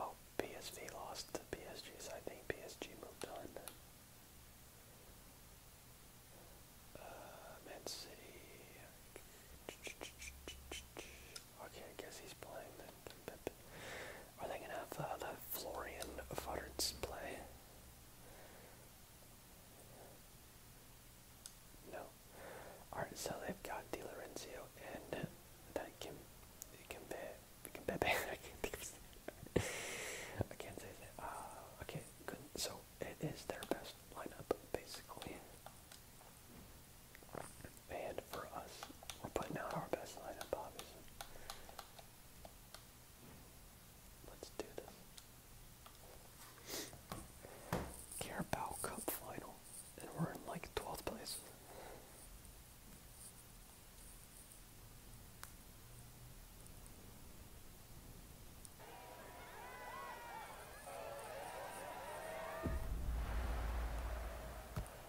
Oh, PSV lost to PSG, so I think PSG moved on Man City. Okay, I guess he's playing are they gonna have uh, the Florian Varts play? No. Alright, so they've got Di Lorenzo and that Kim Kimbebe. I can't think of I can't say that. Uh, okay, good. So it is their best lineup, basically. And for us, we're putting out our best lineup, obviously. Let's do this. Carabao Cup final, and we're in like 12th place.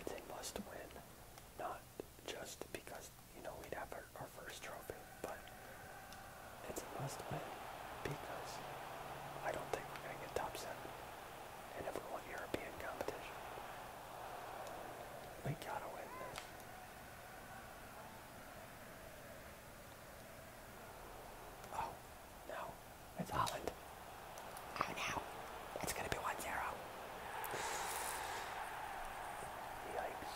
It's a must win, not just because, you know, we'd have our, first trophy, but it's a must win because I don't think we're going to get top seven if we one European competition. We gotta win Oh, no. It's Holland. Oh, no. It's going to be 1 Yikes.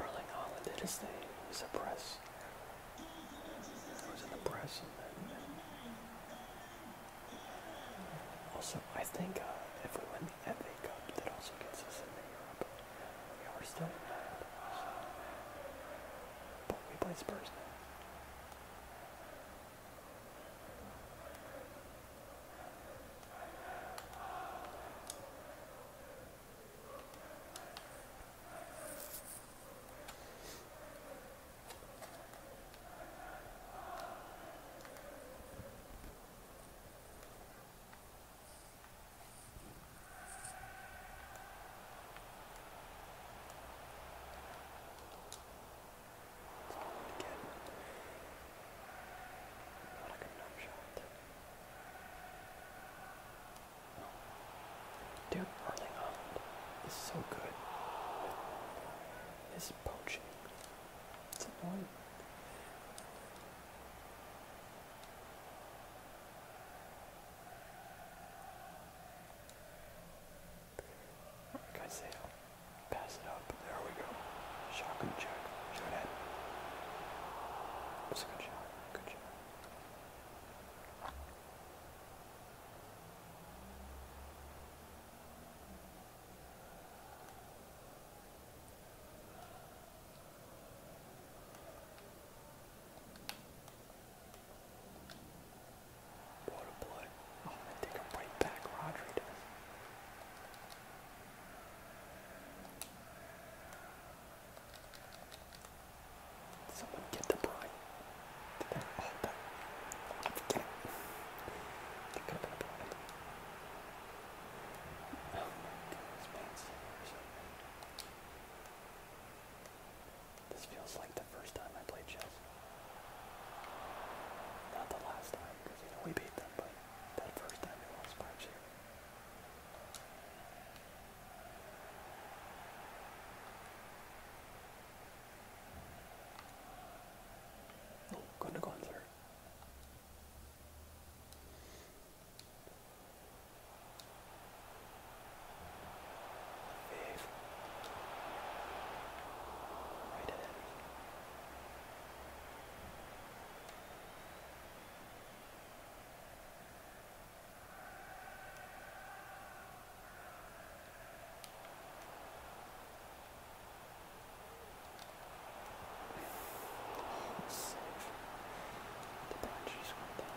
Erling Holland did his thing. He was was in the press. also, I think uh, if we win the FA Cup, that also gets us into yeah, we're still mad. Uh, but we play Spurs now. Not a good enough shot. Dude, Erling Holland is so good with his poaching. It's annoying. Caicedo. Pass it up. There we go. Shotgun check. Shoot it. That's a good shot. Good shot. What a play. I'm going to take him right back, Rodri does. Someone get the Brian. Did that? Oh, that. I'm forgetting. That could have been a Brian. Oh my goodness, man. This feels like the first time I played chess. Not the last time, because we beat them, but that first time we lost by two. Oh, Gundogan's hurt. Five. Right ahead. Safe. The branches went down.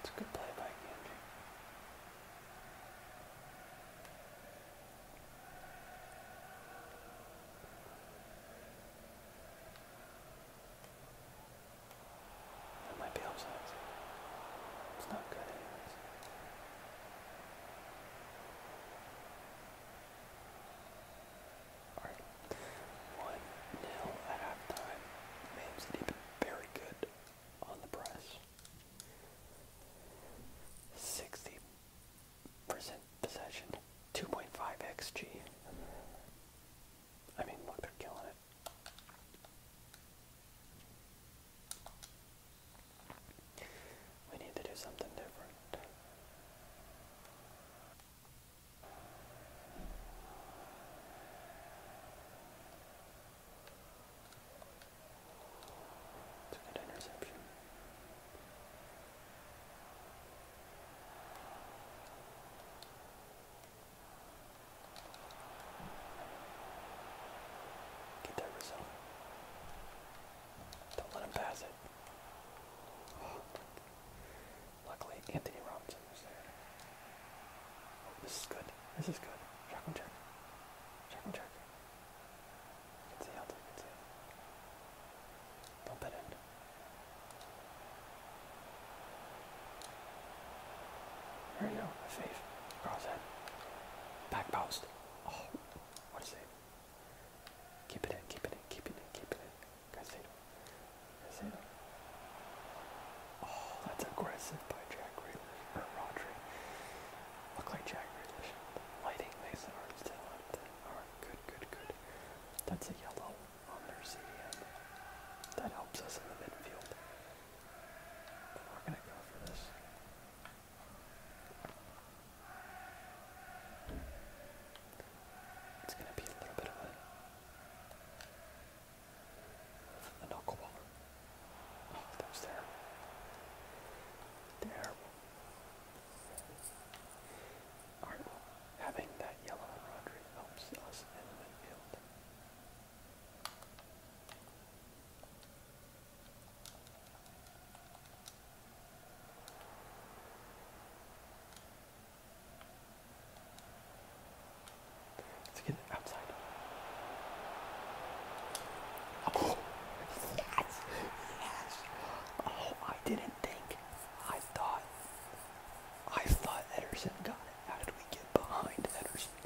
It's a good play by Gamji. That might be offside. It's not good Alright. One nil at halftime. Man City very good on the press. 60% possession, 2.5 XG. I mean, look, they're killing it. We need to do something different. It's a good interception. Get that result. Don't let him pass it. Luckily, Anthony Robinson was there. Oh, this is good. This is good. Shock and check. Shock and check. can see how can see. Bump it in. There you go. A fave. head. Back post. Oh, what a save. Keep it in, keep it in, keep it in, keep it in. Guys, Oh, that's aggressive by Jack Grealish, or uh, Rodri. Look like Jack Grealish. Lighting makes it hard to good, good, good. That's a yellow on their CDM. That helps us in the midfield. But we're gonna go for this. It's gonna be a little bit of a from the knuckleballer. Oh, that was terrible. Terrible. having that yellow on Rodri helps us in the midfield. Let's get it outside. Oh, yes, yes. Oh, I didn't think. I thought. I thought Ederson got it. How did we get behind Ederson?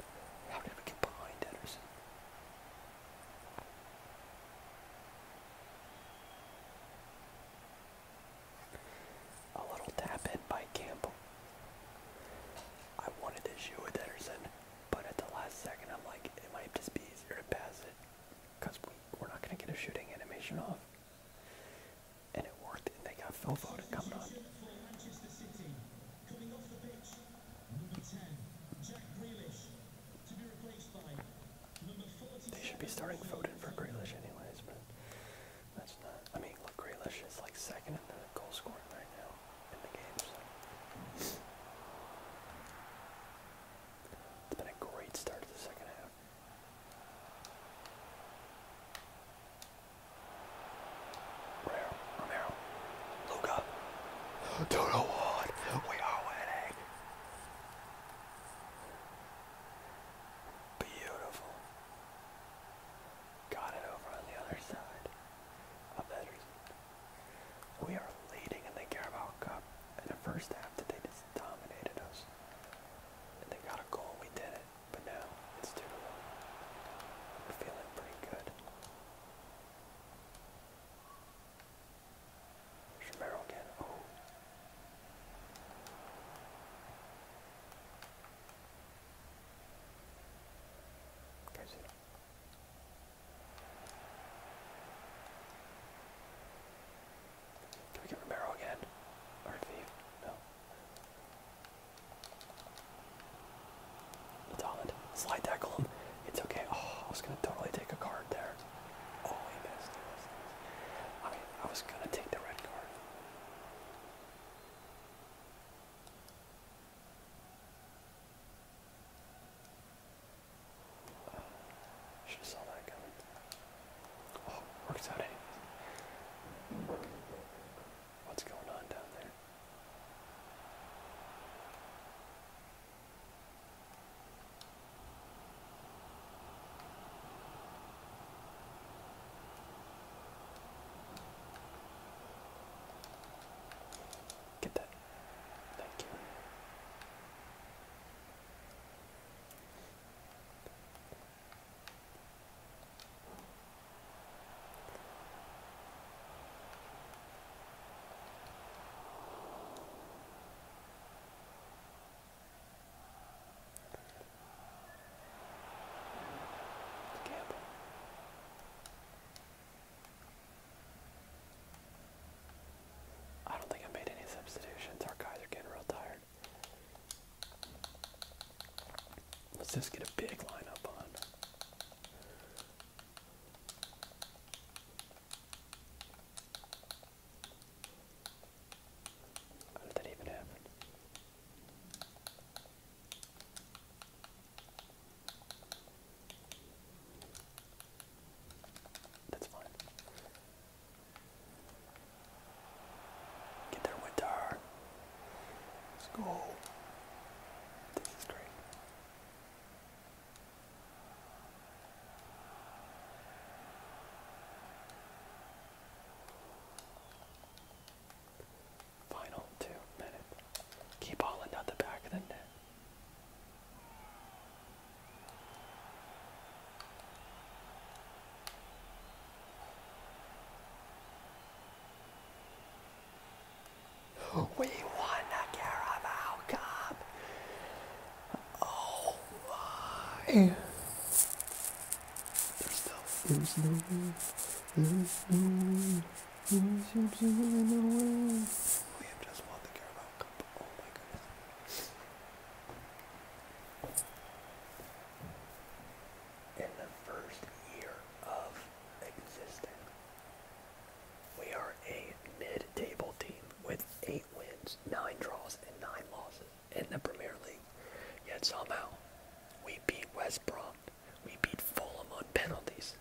How did we get behind Ederson? A little tap in by Campbell. I wanted to shoot with Ederson, but at the last second I'm like, it might just be easier to pass it because we, we're not going to get a shooting animation off. And it worked, and they got Phil Foden coming on. They should be starting Foden for Grealish anyways, but that's not. I mean, look, Grealish is like second in the goal scoring right now in the game. So. It's been a great start to the second half. Romero, Romero, Luca, Toto Ward, we are winning. Beautiful. Got it over on the other side. I'll bet We are leading in the Carabao Cup. In the first half today, they just dominated us. And they got a goal, we did it. But now, it's 2 to 1. We're feeling pretty good. Romero again. Oh. Can we get Romero again? Or No. It's Holland. Slide tackle him. It's okay. Oh, I was gonna totally take a card there. Oh, He missed. I mean, I was gonna take the red card. Should saw that coming. Oh, works out anyways. What's going on down there? Get that. Thank you. I don't think I made any substitutions. Our guys are getting real tired. Let's just get a big line up on. How did that even happen? That's fine. Get there, Winter. Let's go. This is great. Final two minutes. Keep hauling out the back of the net. We won the Carabao Cup. Oh my! There's no, there's no, there's no. We have just won the Carabao Cup. Oh my goodness. In the first year of existence, we are a mid-table team with eight wins, nine draws, and nine losses in the Premier League. Yet somehow we beat West Brom we beat Fulham on penalties.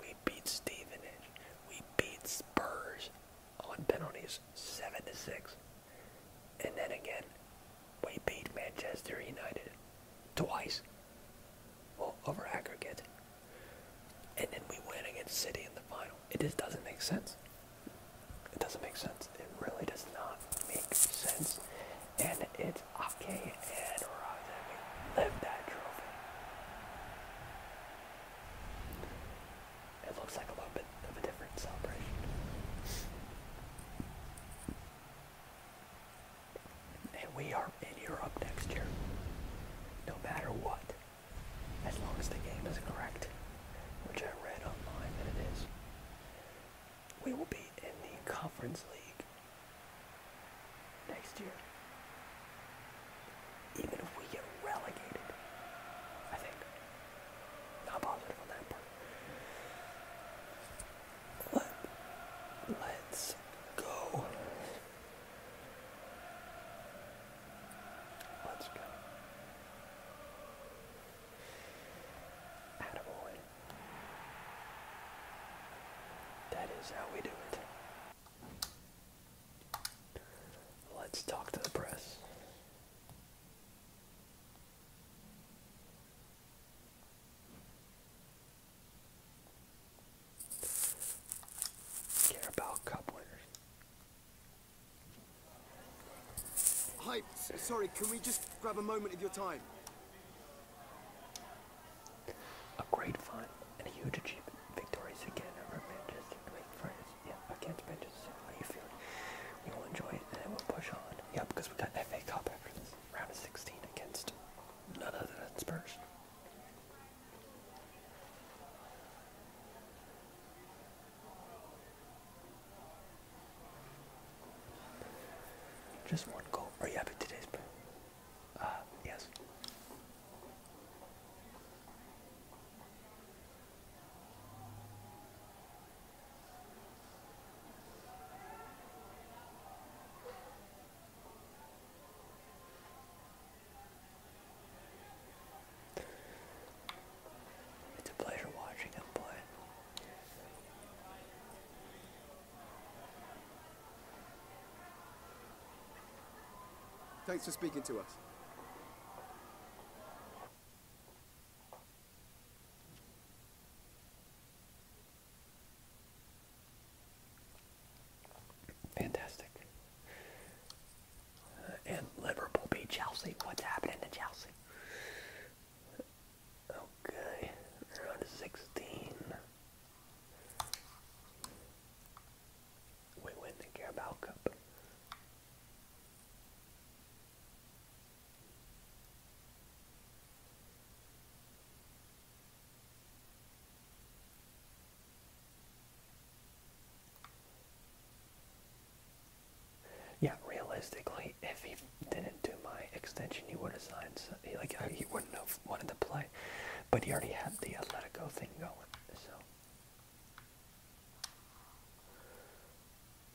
We beat Stevenage. We beat Spurs on penalties, seven to six. And then again, we beat Manchester United twice. Well, over aggregate. And then we win against City in the final. It just doesn't make sense. It doesn't make sense. It really does not make sense and it's okay, and Rozemi. Live that trophy. It looks like a little bit of a different celebration. And we are in Europe next year. No matter what. As long as the game is correct. Which I read online that it is we will be in the Conference League next year. Even if we get relegated, I think. Not positive on that part. Let, us go. Let's go. Attaboy. That is how we do it. Let's talk to the press. Carabao Cup winners. Hi, sorry, can we just grab a moment of your time? A great fun and a huge achievement. Victorious again over Manchester United France. Yeah, against Manchester United. We will enjoy it and then we'll push on. Yep, because we got FA Cup after this. Round of 16 against none other than Spurs. Just one goal. Are you happy today's play? Uh, yes. It's a pleasure watching him play. Thanks for speaking to us. Fantastic. and uh, Liverpool beat Chelsea. What's happening to Chelsea? Okay, they 16. We win the Carabao Yeah, realistically, if he didn't do my extension, he would have signed. Like he wouldn't have wanted to play, but he already had the Atletico thing going. So,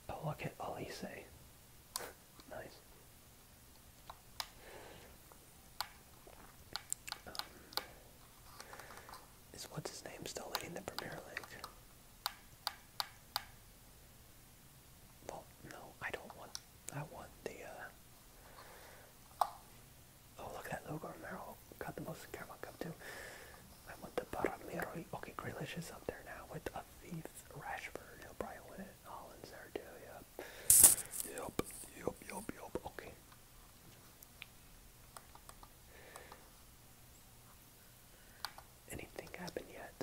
oh look at Olise, nice. Um, is what's his name still leading the Premier League? Well, no, I don't want I won the, uh, oh look at that logo, Merrill oh, got the most caramel cup too. I want the Baramiro. Okay, Grealish is up there now with a thief, Rashford. He'll probably win it. Holland's there too. Yep. Yep. Yep. Yep. Yep. Okay. Anything happened yet?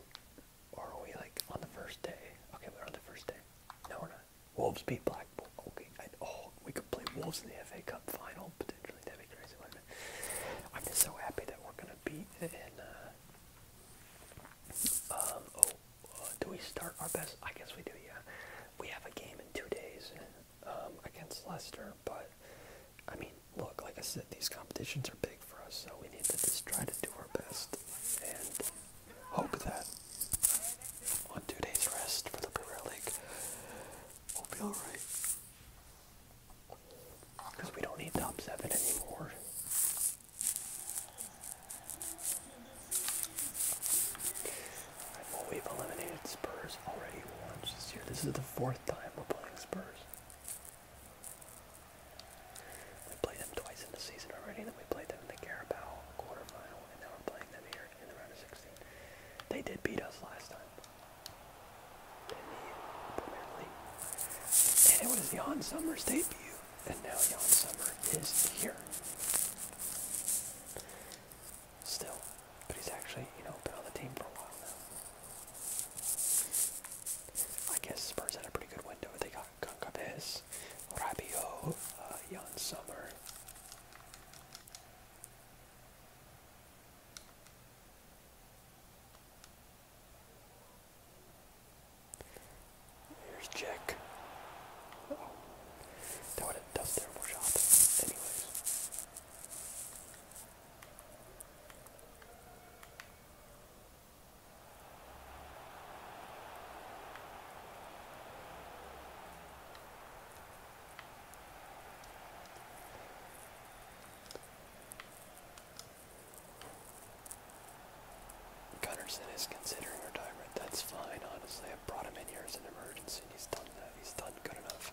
Or are we like on the first day? Okay, we're on the first day. No, we're not. Wolves beat Blackpool. Okay, oh, we could play Wolves in the FA Cup final potentially. That'd be crazy. I'm just so happy that we're gonna beat and. Uh, um. Oh, uh, do we start our best? I guess we do. Yeah, we have a game in two days um, against Leicester, but I mean, look, like I said, these competitions are big for us, so we need to just try to do our best and hope that on two days rest for the Premier League, we'll be alright. Because we don't need top seven anymore. Well, we've eliminated Spurs already once this year. This is the fourth time we're playing Spurs. We played them twice in the season already. Then we played them in the Carabao quarterfinal, and now we're playing them here in the round of 16. They did beat us last time in the Premier League, and it was Jan Sommer's debut, and now Jan Sommer is here. Still, but he's actually, you know, been on the team for a while now. I guess Spurs had a pretty good window. They got Gunkabes, Diaz, Rabiot, uh, Jan Sommer. Here's Jack. oh, that would have terrible shot. Anyways. Gunnarsson is considering retirement. That's fine, honestly. I brought him in here as an emergency, and he's done that. He's done good enough.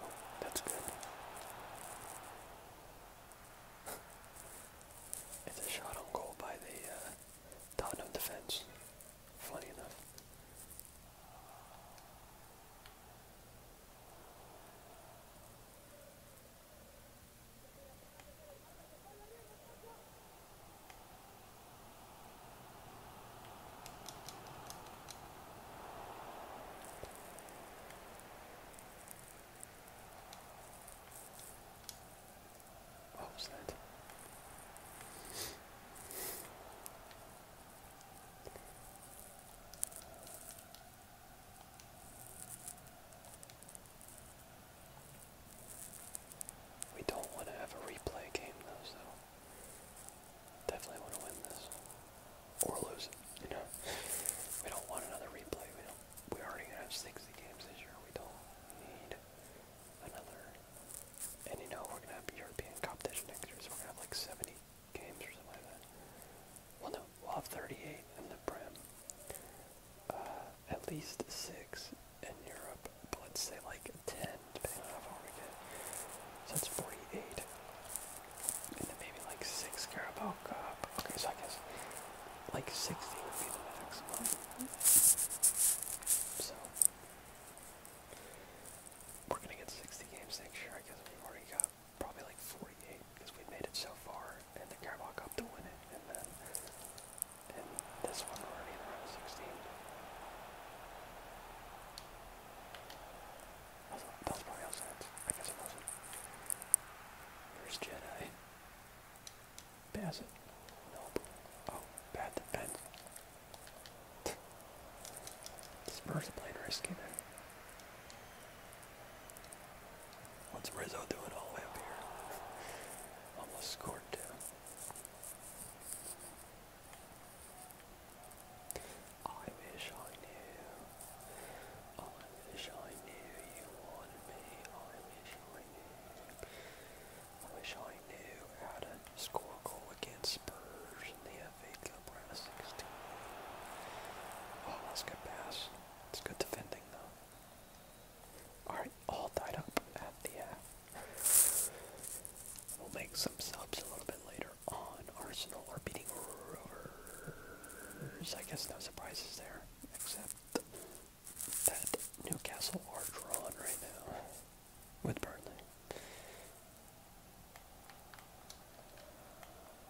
Oh, that's good. it's a shot on goal by the uh, defense. Funny enough. What was that? We don't want to have a replay game though, so definitely want to win this or lose it. You know, we don't want another replay. We don't. We already have 60 games this year. We don't need another. And you know, we're gonna have European competition next year, so we're gonna have like 70 games or something like that. Well, no, We'll have 38 in the Prem. Uh, at least 6 in Europe, but let's say like 10, So that's 48. And then maybe like 6 Carabao Cup. Okay, so I guess like 60 would be the maximum. So, we're gonna get 60 games next year. I guess we already got probably like 48 because we made it so far and the Carabao Cup to win it, and then and this one we're already in the 16. Also, that was probably I guess it wasn't. Here's Jedi. Pass Nope. Oh, bad defense. Spurs are risky there. What's Rizzo doing all the way up here? Almost scored two. I wish I knew. I wish I knew you wanted me. I wish I knew. I wish I knew how to score a against Spurs in the FA Cup round of 16. Oh, let's get past. It's good defending though. Alright, all tied up at the half. Uh, we'll make some subs a little bit later on. Arsenal are beating I guess no surprises there, except that Newcastle are drawn right now with Burnley.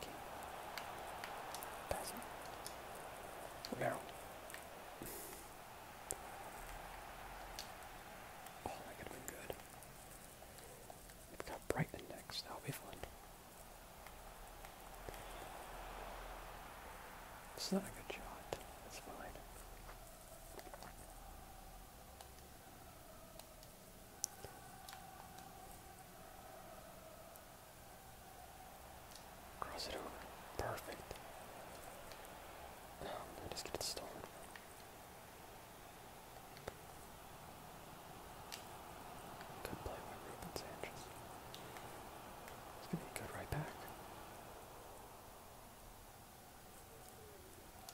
Okay. Oh, that could have been good. We've got Brighton next. That'll be fun. It's not a good shot. It's fine. Cross it over. Perfect. just get it stolen. Good play by Ruben Sanchez. It's gonna be good right back.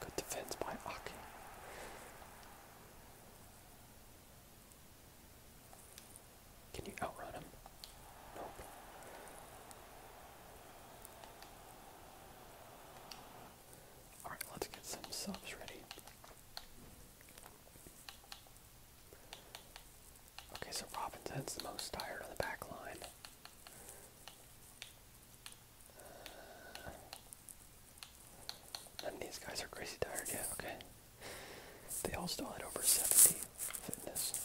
Good defense by Aki. Can you outrun him? Nope. Alright, let's get some subs ready. Okay, so Robbins the most tired on the back line. And these guys are crazy tired, yeah, okay. They all still had over 70 fitness.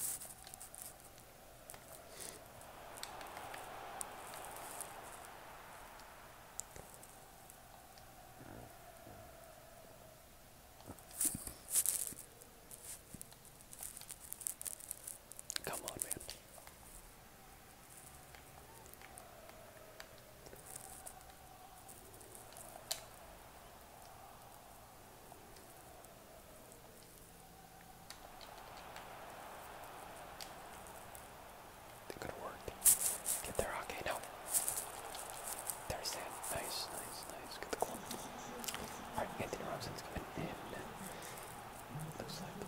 Come on, man. They're gonna work. Get there, okay, no. There's that. Nice, nice, nice. Get the club. Alright, Anthony Robinson's in. Looks like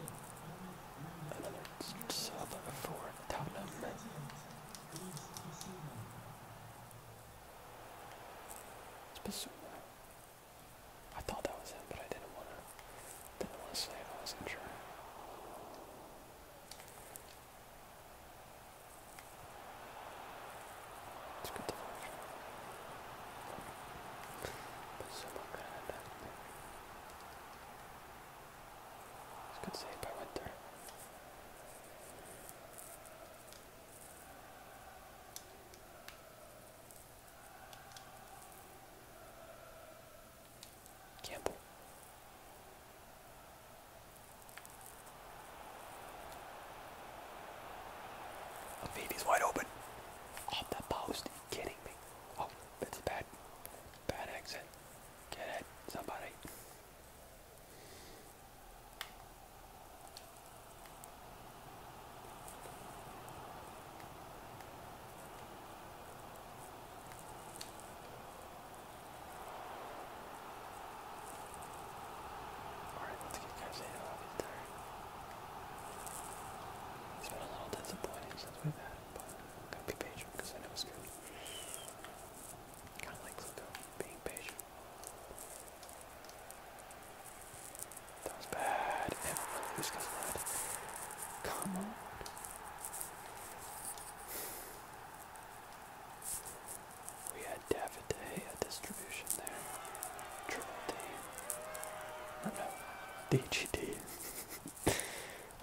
another sub for Tottenham. Basuma. I thought that was him, but I didn't wanna didn't wanna say I wasn't sure. It's good to flush. But someone have that. good saved by Winter. Campbell. Levine's wide open. Off the post. Kidding me. Oh, that's a bad, bad exit. Get it, somebody. Alright, let's get guys in. It's been a little disappointing since we've had but be patient I know it's good. Kind of like Zuko, being patient. That was bad. Come on. We had Davide at this contribution there. Triple D. Or no, DGD.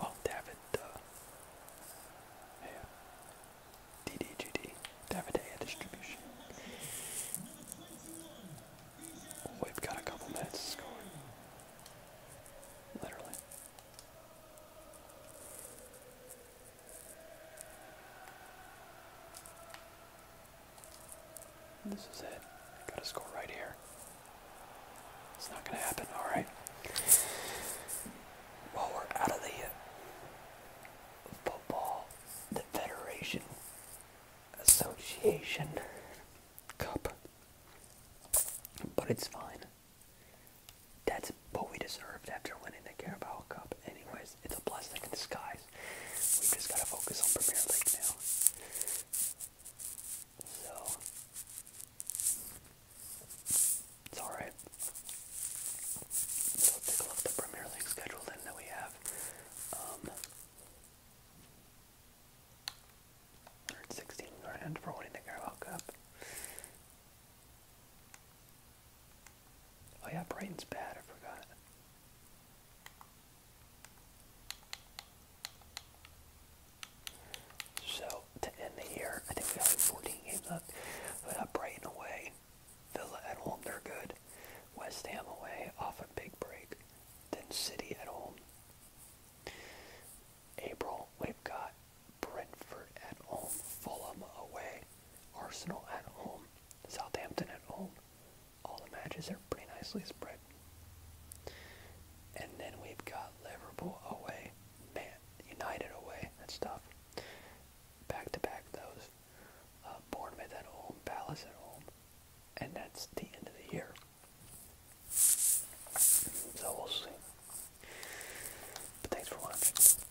oh, David, uh, yeah. DDGD. David A distribution. We've got a couple minutes to score. Literally. This is it. I gotta score right here. It's not gonna happen, alright. Well, we're out of the uh, football, the Federation Association Cup. But it's fine. That's what we deserved after winning the Carabao Cup. Anyways, it's a blessing in disguise. We've just got to focus on Premier League now. So, it's alright. So, take a look at the Premier League schedule then that we have. Um, 116 grand for winning the Carabao Cup. Oh yeah, Brighton's bad, I forgot. So to end the year, I think we have 14 games left. We got Brighton away, Villa at home, they're good. West Ham away off a big break. Then City at home. April, we've got Brentford at home, Fulham away, Arsenal at home, Southampton at home, all the matches are pretty nicely spread. And then we've got Liverpool away, man, United away, that's stuff. Back to back those, uh, Bournemouth at home, Palace at home, and that's the end of the year. So we'll see. But thanks for watching.